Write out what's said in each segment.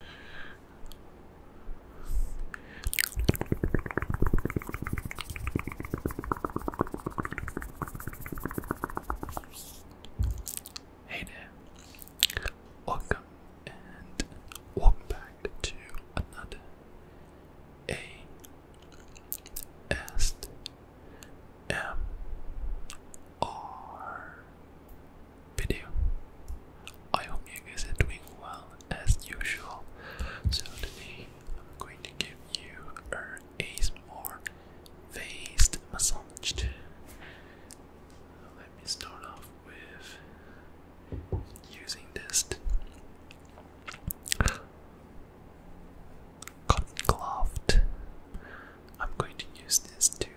Hey there, welcome and welcome back to another A S M R video. I hope you guys are doing well as usual. So today I'm going to give you a ASMR face massage. Let me start off with using this cotton cloth. I'm going to use this to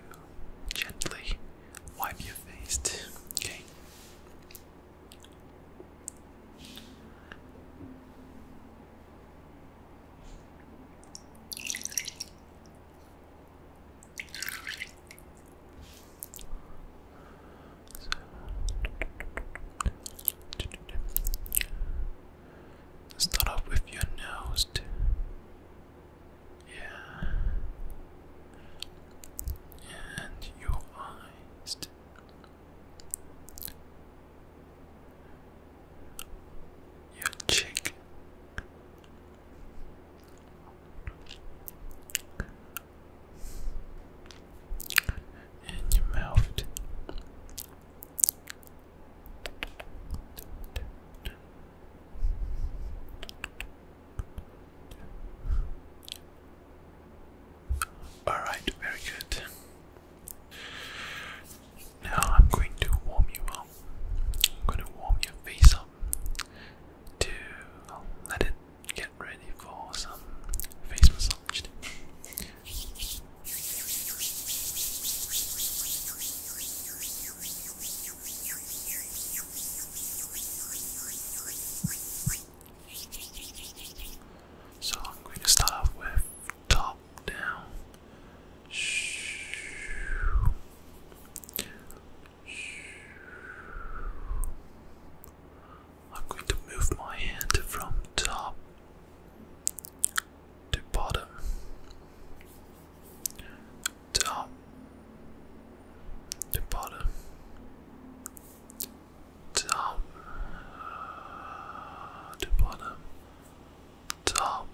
gently wipe your face too, okay? start off with your nose. Yeah. And your eyes. Your cheek. And your mouth. Alright, very good. Now I'm going to warm you up. I'm going to warm your face up to let it get ready for some face massage. So I'm going to start off with top down. I'm going to move my hand from top to bottom top to bottom top to bottom top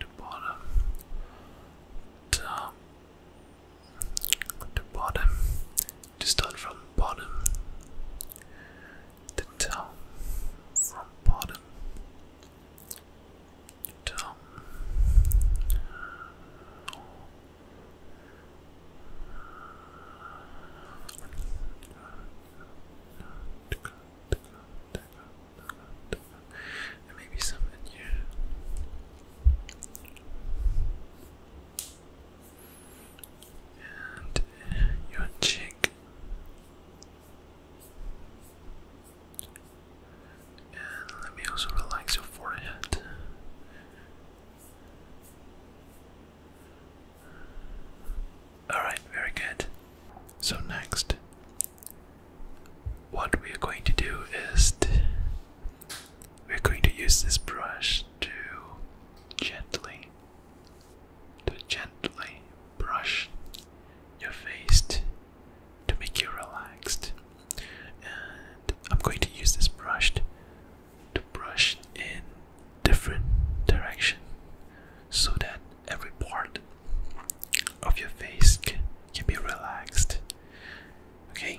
to bottom top to bottom to start from bottom to top from bottom Dumb. There may And uh, your cheek let me also relax your forehead. Alright, very good. So, next, what we are going to do is we're going to use this brush to gently, to gently brush your face to make you relaxed. And I'm going to use this brush to brush in different direction so that every part of your face can, can be relaxed. Okay.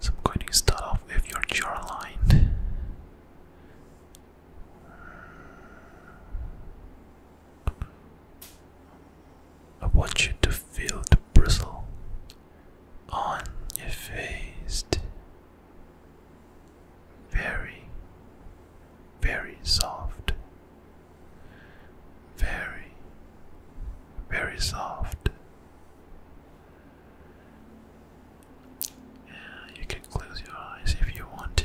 So I'm going to start off with your jawline. I want you to feel the bristle on your face very, very soft, very, very soft. you can close your eyes if you want to.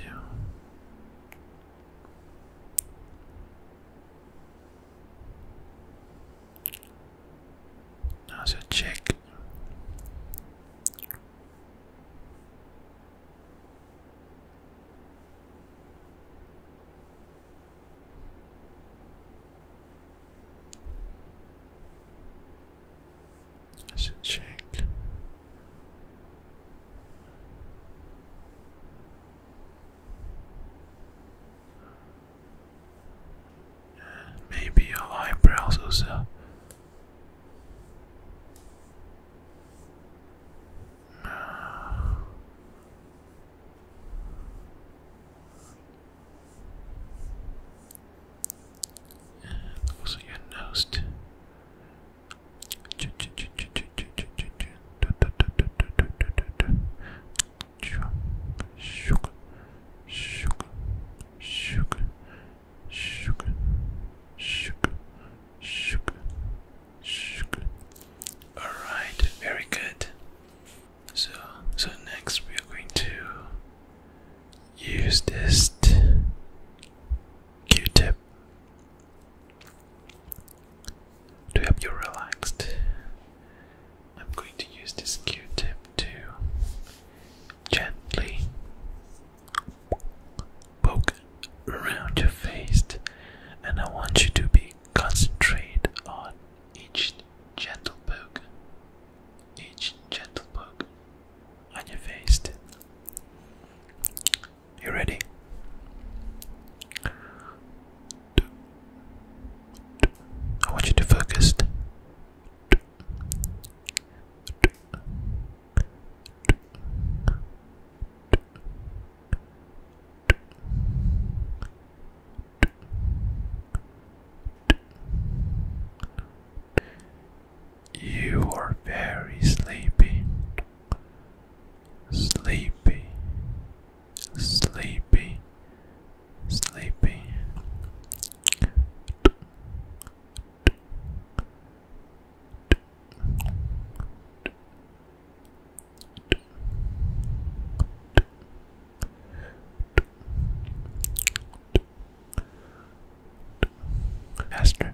That's a check. That's a chick. Maybe your eyebrows uh, also. also your nose. All right, very good. So, so next we are going to use this Q-tip to help you relaxed. I'm going to use this Q-tip to gently poke around your face, and I want you to be concentrated on each gentle poke, each gentle poke on your face. You ready? I want you to focus. You are very sleepy sleepy, sleepy, sleepy. Faster.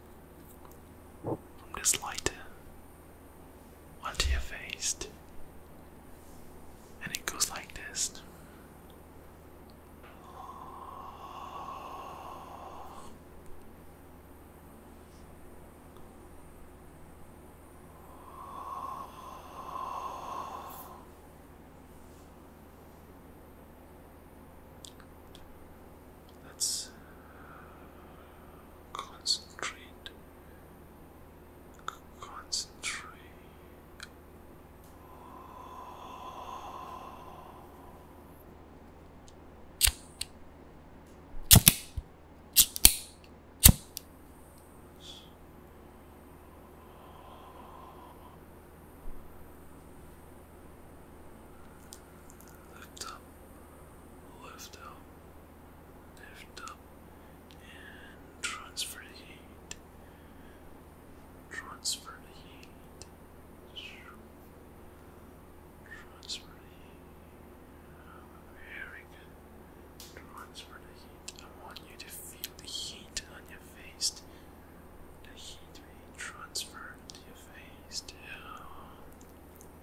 from this lighter onto your face, and it goes like this. Let's concentrate. Concentrate. Lift up, lift up, lift up, and transfer the heat. Transfer the heat. Transfer the heat. Very good. Transfer the heat. I want you to feel the heat on your face. The heat being transferred to your face.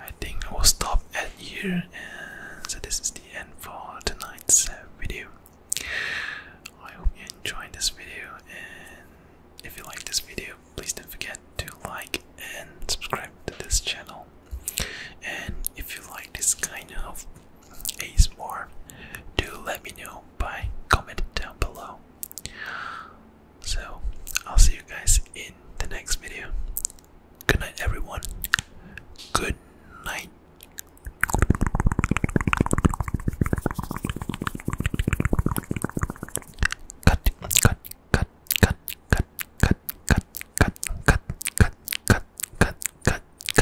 I think I will stop at here, and so this is the end for tonight's uh, video. I hope you enjoyed this video, and if you like this video, please don't forget to like and subscribe to this channel. And if you like this kind of ASMR, do let me know by comment down below. So, I'll see you guys in the next video. Good night, everyone. Good night. Cut, cut, cut, cut, cut, cut, cut, cut, cut, cut, cut, cut, cut,